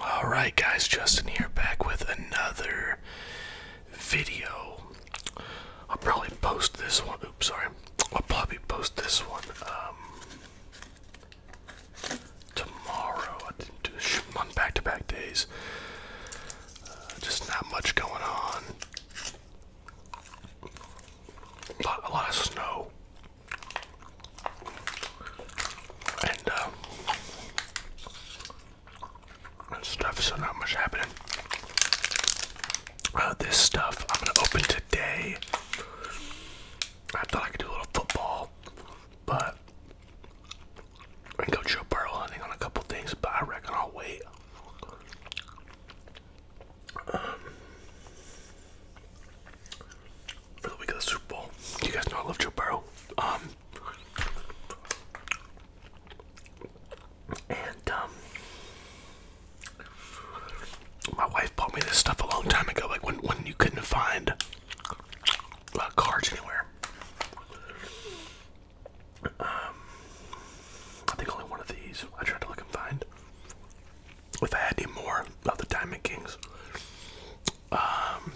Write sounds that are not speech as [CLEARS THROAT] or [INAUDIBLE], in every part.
All right, guys, Justin here back with another video. I'll probably post this one. Oops, sorry. I'll probably post this one um, tomorrow. I didn't do on back to back days. Uh, just not much going on. a lot of snow and uh, stuff. So not much happening. Uh, this stuff I'm gonna open today. I thought I could do a little football, but I go Joe Burrow hunting on a couple things. But I reckon I'll wait. Um, for the week of the Super Bowl. You guys know I love Joe Burrow. Um, and um, my wife bought me this stuff a long time ago, like when when you couldn't find cards anywhere. Um, I think only one of these. I tried to look and find. If I had any more of the Diamond Kings, um,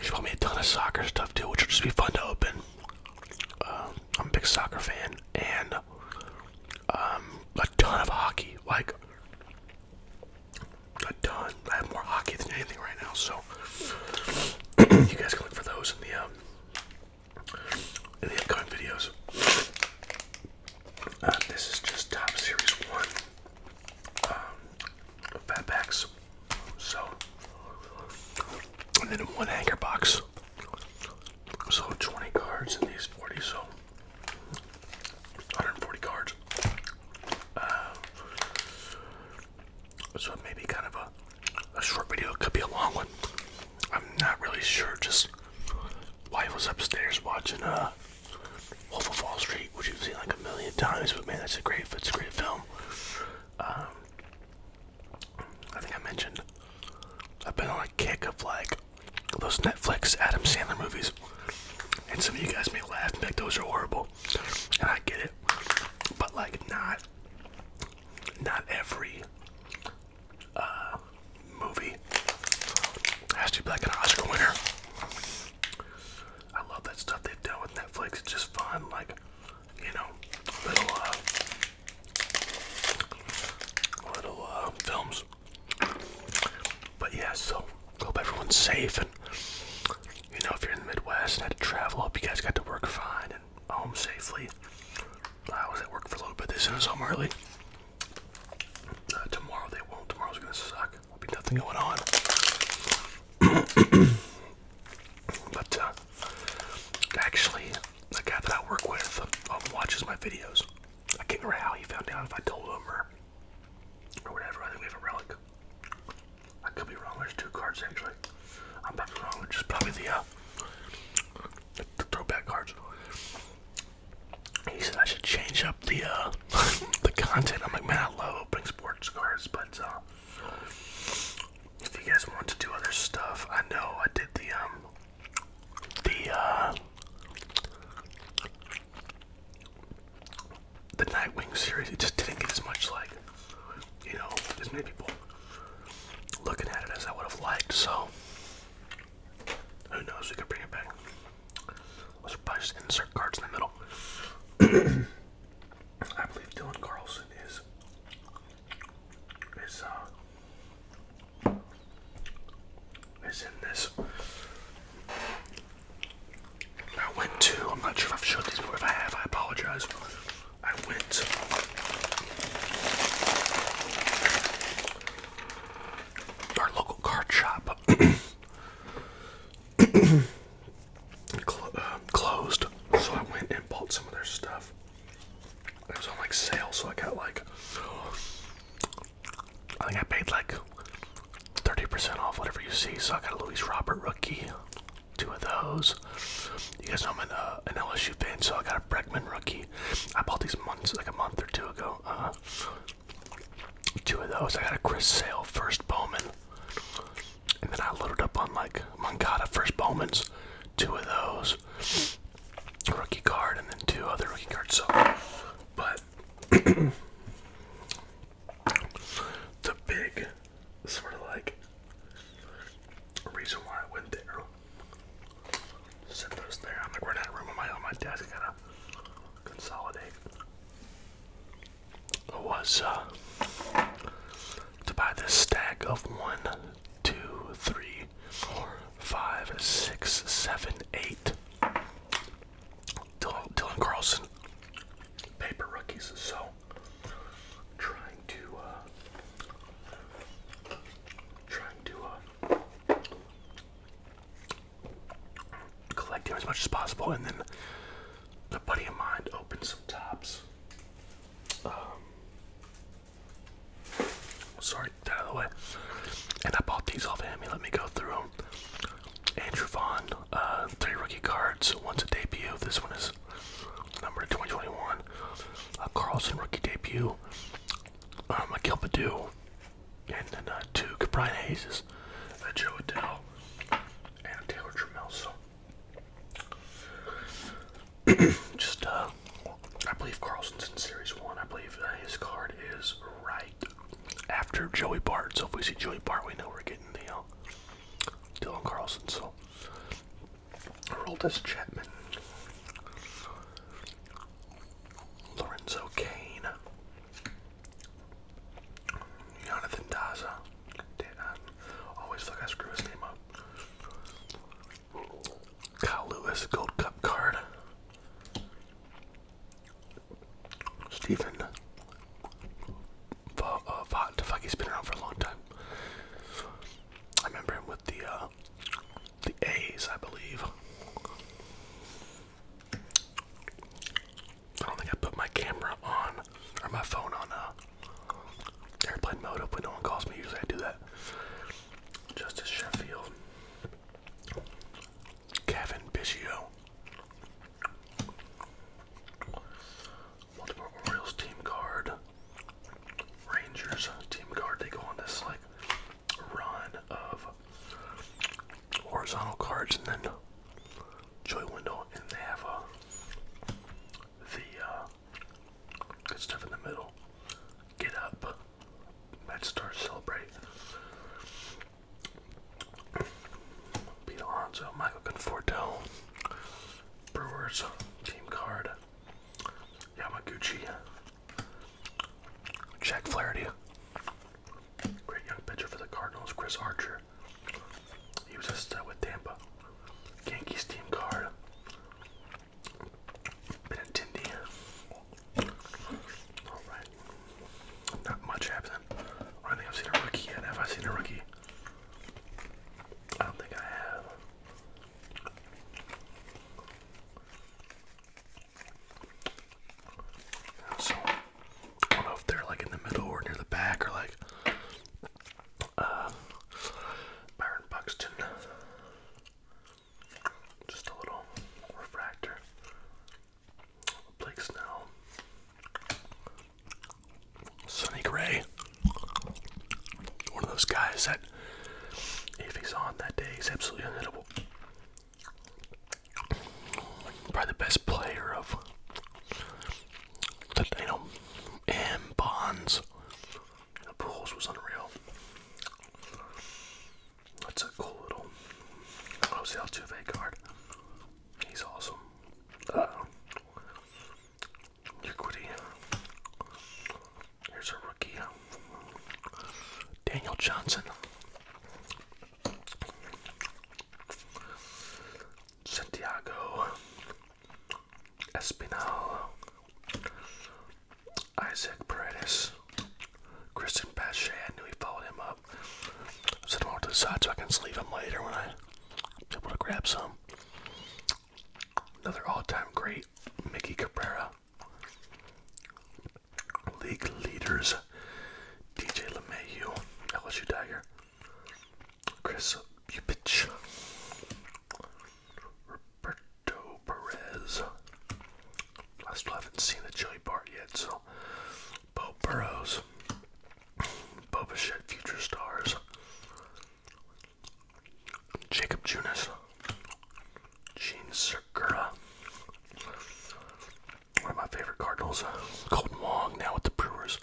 she bought me a ton of soccer stuff too, which will just be fun to open. Um, I'm a big soccer fan, and um, a ton of hockey, like a ton. I have more hockey than anything right now, so [CLEARS THROAT] you guys can look for those in the in the upcoming videos. Uh, this is just Top Series 1 um, Fat Packs. So, and then one anchor box. So 20 cards in these 40, so 140 cards. Uh, so it may be kind of a, a short video, it could be a long one. I'm not really sure, just wife was upstairs watching uh Wolf of Wall Street, which you've seen like a million times, but man, that's a great, it's a great film. Um, I think I mentioned I've been on a kick of like those Netflix Adam Sandler movies, and some of you guys may laugh and think those are horrible, and I get it, but like not, not every uh, movie. It has to Oscar winner. I love that stuff they've done with Netflix. It's just fun, like, you know, little, uh, little, uh, films. But yeah, so hope everyone's safe. And, you know, if you're in the Midwest and had to travel, hope you guys got to work fine and home safely. I was at work for a little bit this I was home early. Uh, tomorrow they won't. Tomorrow's gonna suck. There'll be nothing going on. [CLEARS THROAT] but uh, actually, the guy that I work with um, watches my videos. I can't remember how he found out if I told him or, or whatever. I think we have a relic. I could be wrong. There's two cards actually. I'm probably wrong. just probably the uh, throwback cards he said I should change up the uh, [LAUGHS] the content. I'm like, man, I love open sports cars, but uh, if you guys want to do other stuff, I know I did the um the uh, the Nightwing series. It just didn't get as much like you know as many people looking at it as I would have liked. So who knows? We could bring it back was probably just insert cards in the middle. [CLEARS THROAT] I believe Dylan Carlson is is uh is in this. I went to I'm not sure if I've showed these before. If I have, I apologize. I went our local card shop [CLEARS THROAT] Uh, closed, so I went and bought some of their stuff. It was on like sale, so I got like I think I paid like 30% off whatever you see. So I got a Louis Robert rookie, two of those. You guys know I'm an, uh, LSU fan, so I got a Breckman rookie. I bought these months like a month or two ago. Uh, Two of those. I got a Chris Sale first Bowman. And then I loaded up on like Mangata first Bowman's. Two of those. Rookie card and then two other rookie cards. So but [CLEARS THROAT] the big sort of like reason why I went there. Set those there. I'm like running out of room on my on my desk consolidate was uh, to buy this stack of one, two, three, four, five, six, seven, eight. Dylan, Dylan Carlson, paper rookies. So trying to, uh, trying to uh, collecting as much as possible. And then a buddy of mine opened some tops. Um, sorry, that out of the way. And I bought these off him. let me go through them. Andrew Vaughn, uh, three rookie cards. One's a debut. This one is number 2021. Uh, Carlson rookie debut. Um, a Gilbadu and then uh, two Cabrian Hazes, uh, Joe Adele, and Taylor Trammell. So [CLEARS THROAT] just, uh, I believe Carlson's in Series 1. I believe uh, his card is right after Joey Bart. So if we see Joey Bart, we know we're getting the uh, Dylan Carlson. So I rolled Chapman. Lorenzo Kane, Jonathan Daza. always fuck like I screw his name up. Kyle Lewis, Gold Cup card. Stephen Vaught, uh, Vaught, fuck, he's been around for a long time. I remember him with the uh, the A's, I believe. I don't think I put my camera on or my phone on uh, airplane mode up when no one calls me. Usually I do that. Justice Sheffield, Kevin Biggio, Baltimore Orioles team card, Rangers team card. They go on this like run of horizontal cards and then joy window, and they have uh, the uh, good stuff in the middle. Get up, Red Star celebrate. Pete Alonso, Michael Conforto, Brewers team card, Yamaguchi, Jack Flaherty. Great young pitcher for the Cardinals, Chris Archer. He was just with Tampa. Yankees team card. Benintendi. Alright. Not much happening. I don't think I've seen a rookie yet. Have I seen a rookie? I don't think I have. So I don't know if they're like in the middle or near the back or like uh, Byron Buxton. Just a little refractor. Blake Snell. Sonny Gray. One of those guys that if he's on that day he's absolutely unhittable probably the best player of the you know and Bonds. The pools was unreal. That's a cool little Jose Altuve card. He's awesome. Uh, Here's a rookie. Daniel Johnson. Santiago Espinal, Isaac Paredes, Christian Pache. I knew he followed him up. Set him off to the so I can sleeve him later when I'm able to grab some. Another all-time great, Mickey Cabrera league leaders DJ LeMahieu, LSU Tiger, Chris Bupich, Roberto Perez. I still haven't seen the chili bar yet, so Bob Burrows, Boba Shed Future Stars, Jacob Junis, Gene Segura, one of my favorite Cardinals, uh, Colton Wong, now with the Brewers.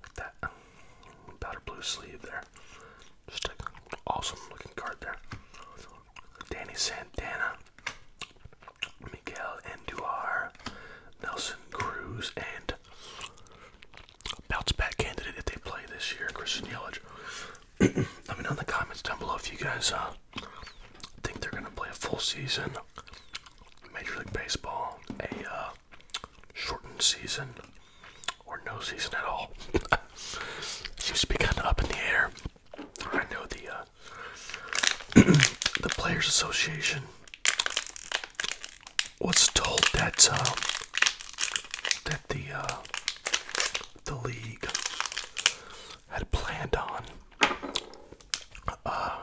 Like that powder blue sleeve there. Just an awesome looking card there. Danny Santana, Miguel Andujar, Nelson Cruz, and bounce back candidate if they play this year, Christian Yelich. [CLEARS THROAT] Let me know in the comments down below if you guys uh, think they're going to play a full season. Major League Baseball, a uh, shortened season, or no season at all. [LAUGHS] Seems to be kind of up in the air. I know the uh, [CLEARS THROAT] the Players Association was told that um, that the uh, the league had planned on. Uh,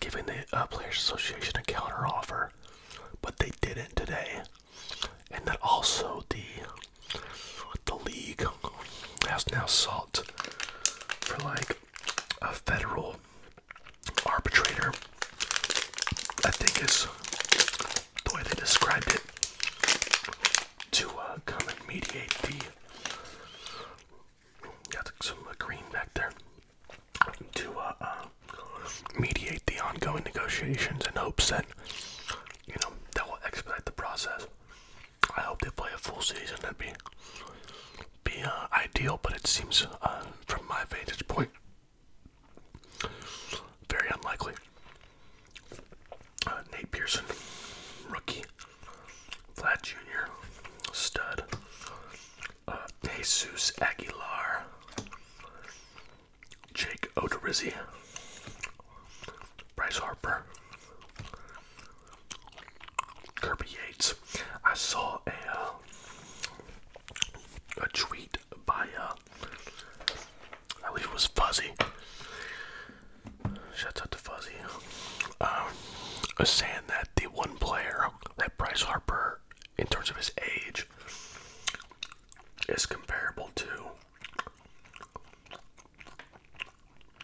giving the uh, Players Association a counter offer, but they didn't today. And that also the the league has now sought for like a federal arbitrator. I think is the way they described it to uh, come and mediate the got some green back there to uh, uh, mediate the ongoing negotiations in hopes that you know that will expedite the process. I hope they play a full season. That'd be be uh, ideal, but it seems from my vantage point very unlikely. Uh, Nate Pearson, rookie. Vlad Jr., stud. Uh, Jesus Aguilar. Jake Odorizzi. Bryce Harper. Kirby Yates. I saw a uh, a tweet by I believe it was Fuzzy. Shouts out to Fuzzy. I um, was saying that the one player that Bryce Harper, in terms of his age, is comparable to.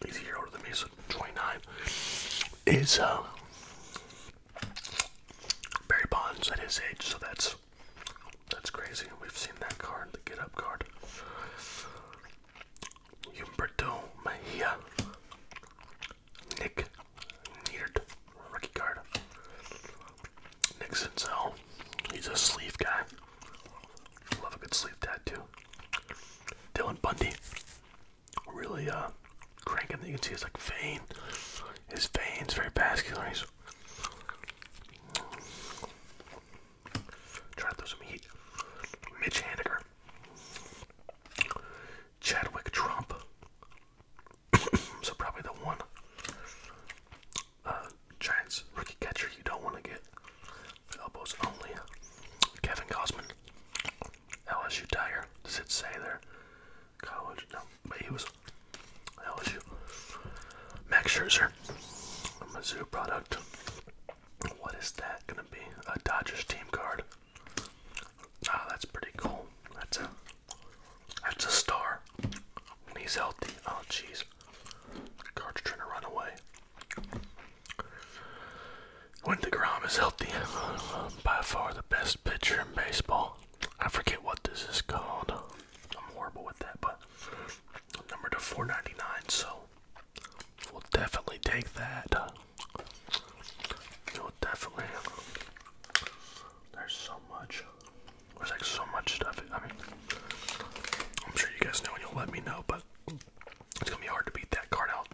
He's a year older than me, so 29. Is uh, Barry Bonds at his age, so that's that's crazy. We've seen that card, the get up card. Humberto Mejia. Nick Needed. Rookie card. Nick He's a sleeve guy. Love a good sleeve tattoo. Dylan Bundy. Really uh cranking you can see his like vein. His veins very vascular. He's Try to throw some heat. Mitch Haniger. Chadwick Trump. [COUGHS] so probably the one uh, Giants rookie catcher you don't want to get. Elbows only. Kevin Cosman. LSU Tiger. Does it say there? College? No. But he was LSU. Max Scherzer. Mizzou product. What is that gonna be? A Dodgers team card. Ah, that's pretty cool. That's a that's a star. he's healthy. Oh jeez. Card's trying to run away. When DeGrom is healthy, by far the best pitcher in baseball. I forget what this is called. I'm horrible with that, but number to 4.99. So we'll definitely take that. We'll definitely. There's so much. There's like so much stuff. I mean, I'm sure you guys know, and you'll let me know, but it's gonna be hard to beat that card out.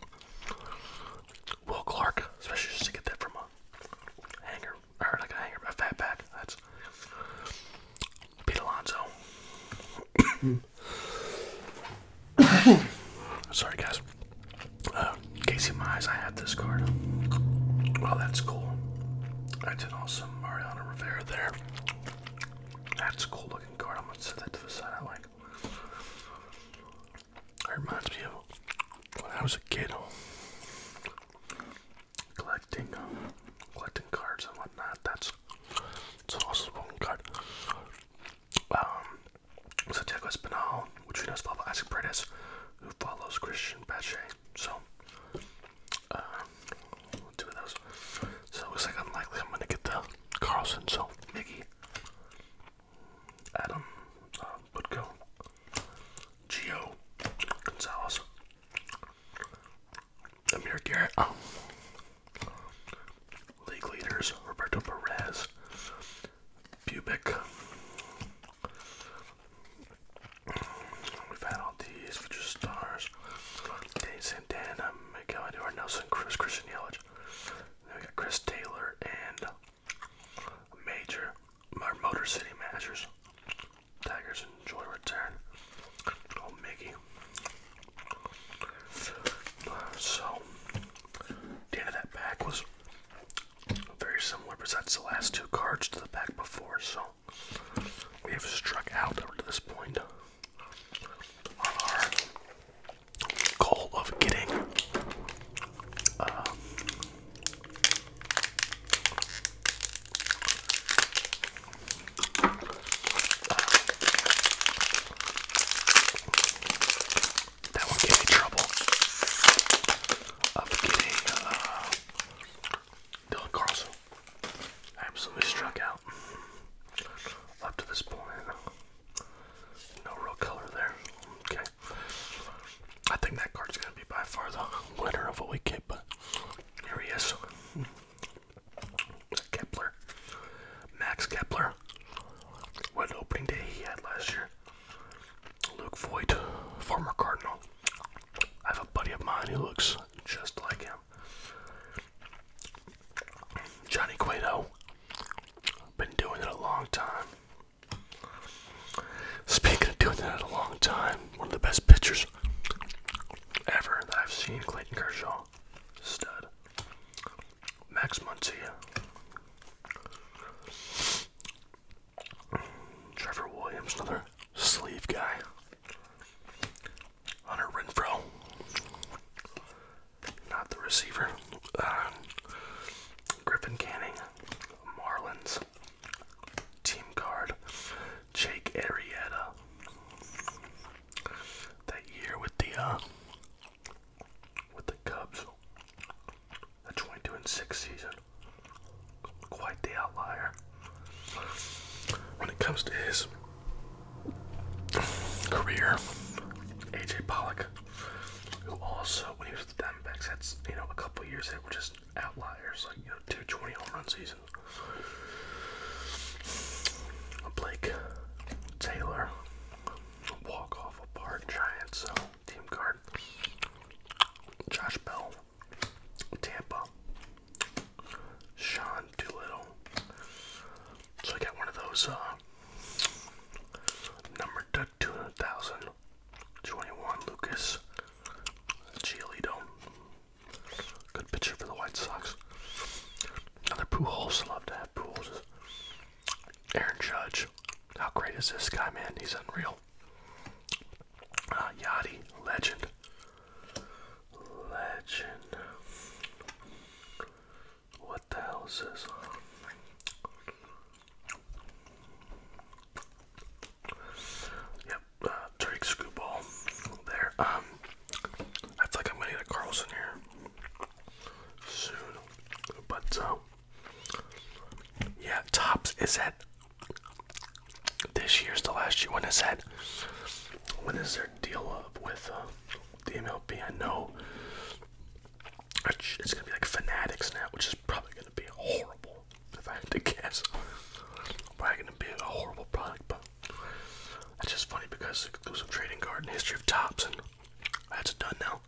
Will Clark, especially just to get that from a hanger, or like a hanger, a fat pack. That's Pete Alonso. [COUGHS] Sorry, guys. Uh, Casey in case Mize, I had this card. Well, that's cool. That's an awesome Mariano Rivera there. That's a cool looking card. I'm gonna set that to the side. I like. That reminds me of when I was a kid collecting, uh, collecting cards and whatnot. That's it's also one card. Um, so Santiago Espinal, which we know is followed by Isaac Paredes, who follows Christian Pache. So, um, two of those. So it looks like unlikely I'm gonna get the Carlson. So Mickey, Adam, uh, go. Geo, Gonzalez, Amir Garrett, oh. league leaders Roberto Perez, Pubic. We've had all these for stars. Dave Santana, Miguel Eduardo Nelson, Chris Christian Yelich. we got Chris Taylor and Major, our Motor City Masters. Tigers enjoy return. Oh, Mickey. Uh, so, the end of that pack was very similar besides the last two cards to the pack before, so we have struck out to this point our goal of getting um, that one gave me trouble of getting uh, Dylan Carlson. Absolutely struck out up to this point. No real color there. Okay. I think that card's going to be by far the winner of a week. but here he is. Kepler, Max Kepler. What opening day he had last year. Luke Voigt, former Cardinal. I have a buddy of mine who looks just like him. Johnny Cueto. Been doing it a long time. Speaking of doing that a long time, one of the best pitchers ever that I've seen. Clayton Kershaw, stud. Max Muncy. Trevor Williams, another sleeve guy. Hunter Renfro, not the receiver. Uh, Griffin Canning, Marlins, team card. Jake Arrieta, that year with the uh, with the Cubs. The 22 and 6 season. Quite the outlier. When it comes to his career, AJ Pollock, who also when he was with the Diamondbacks had you know a couple years that were just outliers, like you know 220 home run seasons. Blake Taylor. Walk off a bar Giants so team card. Josh Bell. Tampa. Sean Doolittle. So I got one of those uh, number two thousand twenty one Lucas Giolito Good pitcher for the White Sox. Another Pujols. Love to have Pujols. Aaron Judge. How great is this guy, man? He's unreal. Uh, Yachty. Legend. Legend. What the hell is this? Yep, uh, Drake Screwball there. Um, I feel like I'm gonna get a Carlson here soon, but uh, yeah, Tops is at this year's the last year. When is that? When is their deal up with uh, the MLB? I know it's gonna be like Fanatics now, which is probably gonna be horrible if I had to guess. Probably gonna be a horrible product, but that's just funny because exclusive trading card in history of tops, and that's done now.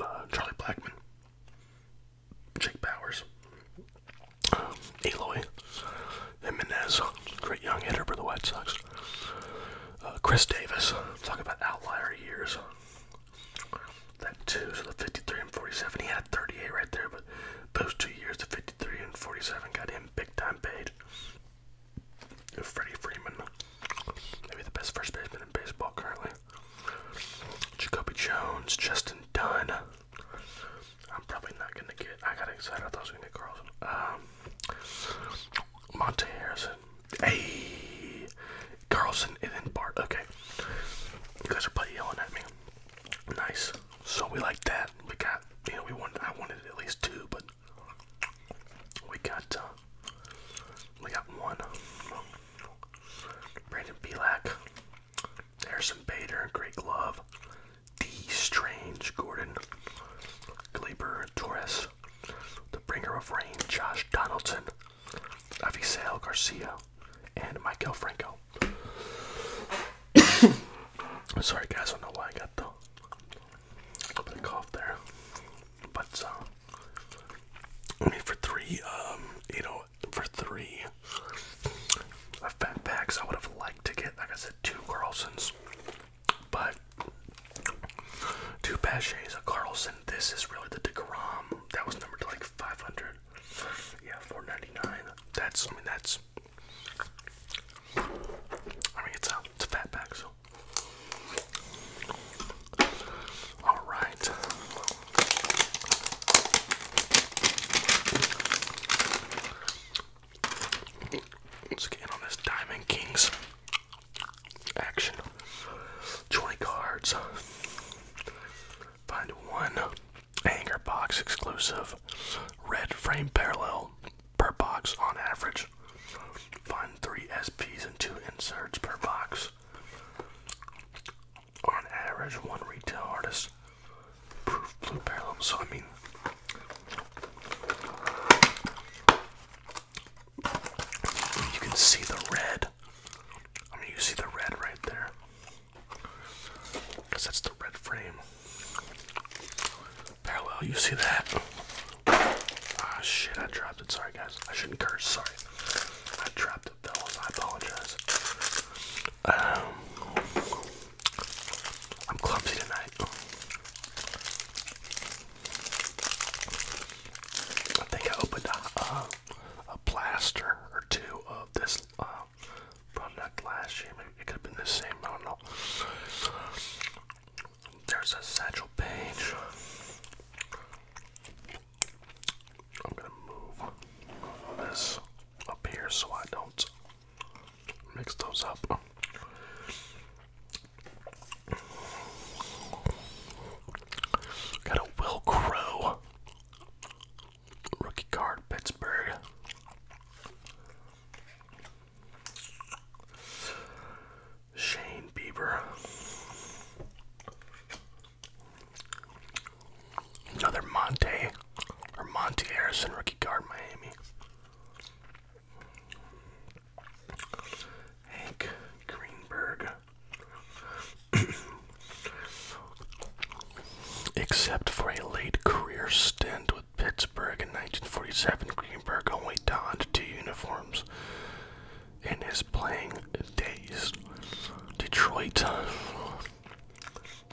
Uh, Charlie Blackman, Jake Bowers, um, Aloy, Jimenez, great young hitter for the White Sox. Uh, Chris Davis, talk about outlier years. That two, so the 53 and 47. He had a 38 right there, but those two years, the 53 and 47, got him big time paid. Freddie Freeman, maybe the best first baseman in baseball currently. Jacoby Jones, Justin Dunn. I'm probably not gonna get. I got excited. I thought I was gonna get Carlson. Um, Monte Harrison. a Carlson and then Bart. Okay, you guys are probably yelling at me. Nice. So we like that. We got, you know, we wanted, I wanted at least two, but we got, uh, we got one. Brandon Belak, Harrison Bader, Great Love, D. Strange, Gordon, Glaber, Torres, The Bringer of Rain, Josh Donaldson, Sale Garcia, and Michael Franco. [COUGHS] Sorry guys, I don't know why I got the cough there. But uh, I mean for three, um, you know, for three uh, fat packs I would have liked to get, like I said, two Carlsons. But two Paches, a Carlson, this is really the DeGrom. That was numbered to like 500. Yeah, 499. That's, I mean, that's I mean, it's a, it's a fat pack, so. All right. Let's get on this Diamond Kings action. 20 cards. Find one hanger box exclusive red frame parallel per box on average. Find three SPs and two inserts per box. On average, one retail artist. Proof blue parallel. So I mean, you can see the red. I mean, you see the red right there. Because that's the red frame. Parallel, you see that? Ah, shit, I dropped it. Sorry, guys. I shouldn't curse. Sorry. I dropped it, fellas. I apologize. Um, I'm clumsy tonight. I think I opened a, a plaster or two of this um, product last year. it could have been the same. I don't know. There's a satchel page. I'm gonna move this up here so I don't mix those up. Got a Will Crow Rookie card, Pittsburgh. Shane Bieber. Another Monte or Monte Harrison rookie card, Miami. Hank Greenberg. [CLEARS THROAT] Except for a late career stint with Pittsburgh in 1947, Greenberg only donned two uniforms in his playing days. Detroit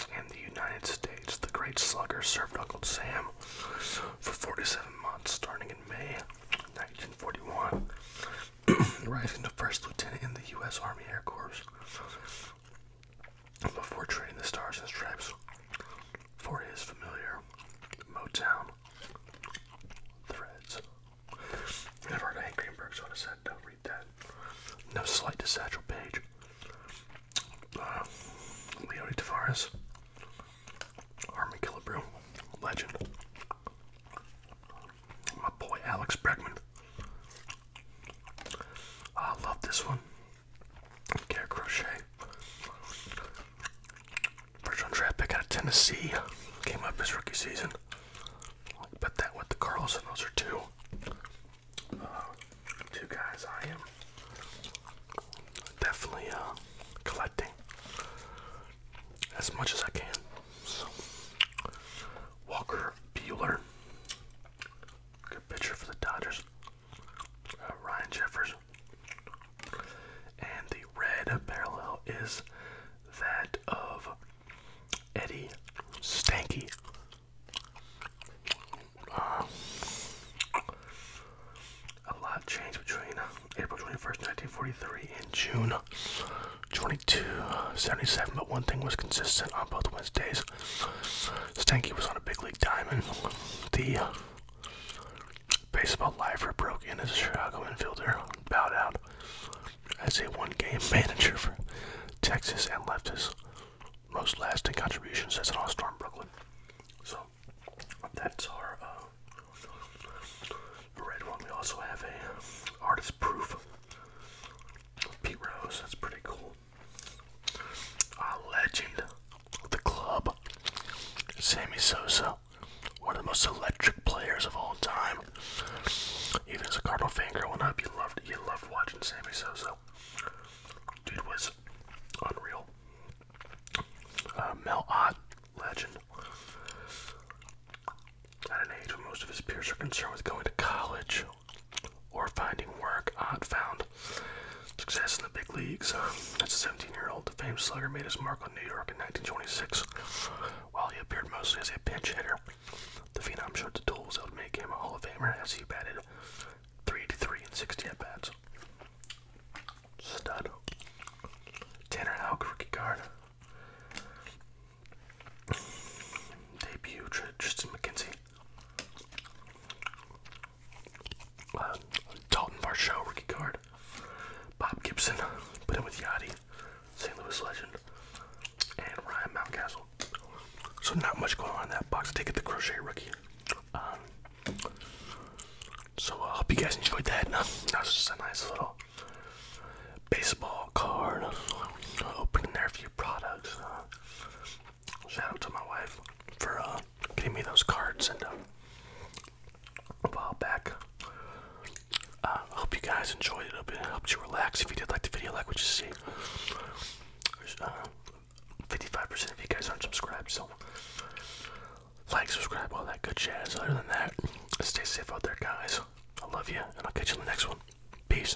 in the United States, the great slugger served Uncle Sam for 47 months, starting in May 1941, [CLEARS THROAT] rising to first lieutenant in the U.S. Army Air Corps before trading the Stars and Stripes for his familiar Motown threads. i heard Hank Greenberg sort of said, don't read that. No slight to Satchel Page. Uh, Tavares. Army Killebrew. Legend. My boy Alex Bregman. I love this one. Care Crochet. First round draft pick out of Tennessee. Came up his rookie season. i that with the Carlson. Those are two. Uh, two guys I am definitely uh, collecting as much as I can. Walker Bueller. Good pitcher for the Dodgers. Uh, Ryan Jeffers. And the red parallel is that of Eddie Stanky. Uh, a lot changed between April 21st, 1943 and June 2277, but one thing was consistent on both Wednesdays. Stanky was on a big league diamond. The uh, baseball lifer broke in as a Chicago infielder, bowed out as a one-game [LAUGHS] manager for Texas, and left his most lasting contributions as an all-star in Brooklyn. So that's our uh, red one. We also have a artist proof. Pete Rose, that's pretty cool a legend of the club, Sammy Sosa, one of the most electric players of all time. Even as a Cardinal fan growing up, you loved you loved watching Sammy Sosa. Dude was unreal. Uh, Mel Ott, legend. At an age when most of his peers are concerned with going to college or finding work, Ott found success in the big leagues. Uh, as a 17-year-old, the famed slugger made his mark on New York in 1926. While he appeared mostly as a pinch hitter, the phenom showed the tools that would make him a Hall of Famer as he batted 383 and 60 at-bats. Stud. Tanner Houck rookie card. Debut Tristan McKenzie. Uh, Dalton Varsho rookie card. Bob Gibson, put in with Yachty, St. Louis legend, and Ryan Mountcastle. So not much going on in that box. take it the crochet rookie. Um, so I uh, hope you guys enjoyed that. That was just a nice little baseball card. Opening their few products. Uh, Shout out to my wife for uh, getting me those cards and uh, a while back. Uh, I uh, hope you guys enjoyed it. Hope it helped you relax. If you did like the video, like what you see. 55% uh, of you guys aren't subscribed, so like, subscribe, all that good jazz. Other than that, stay safe out there, guys. I love you, and I'll catch you in the next one. Peace.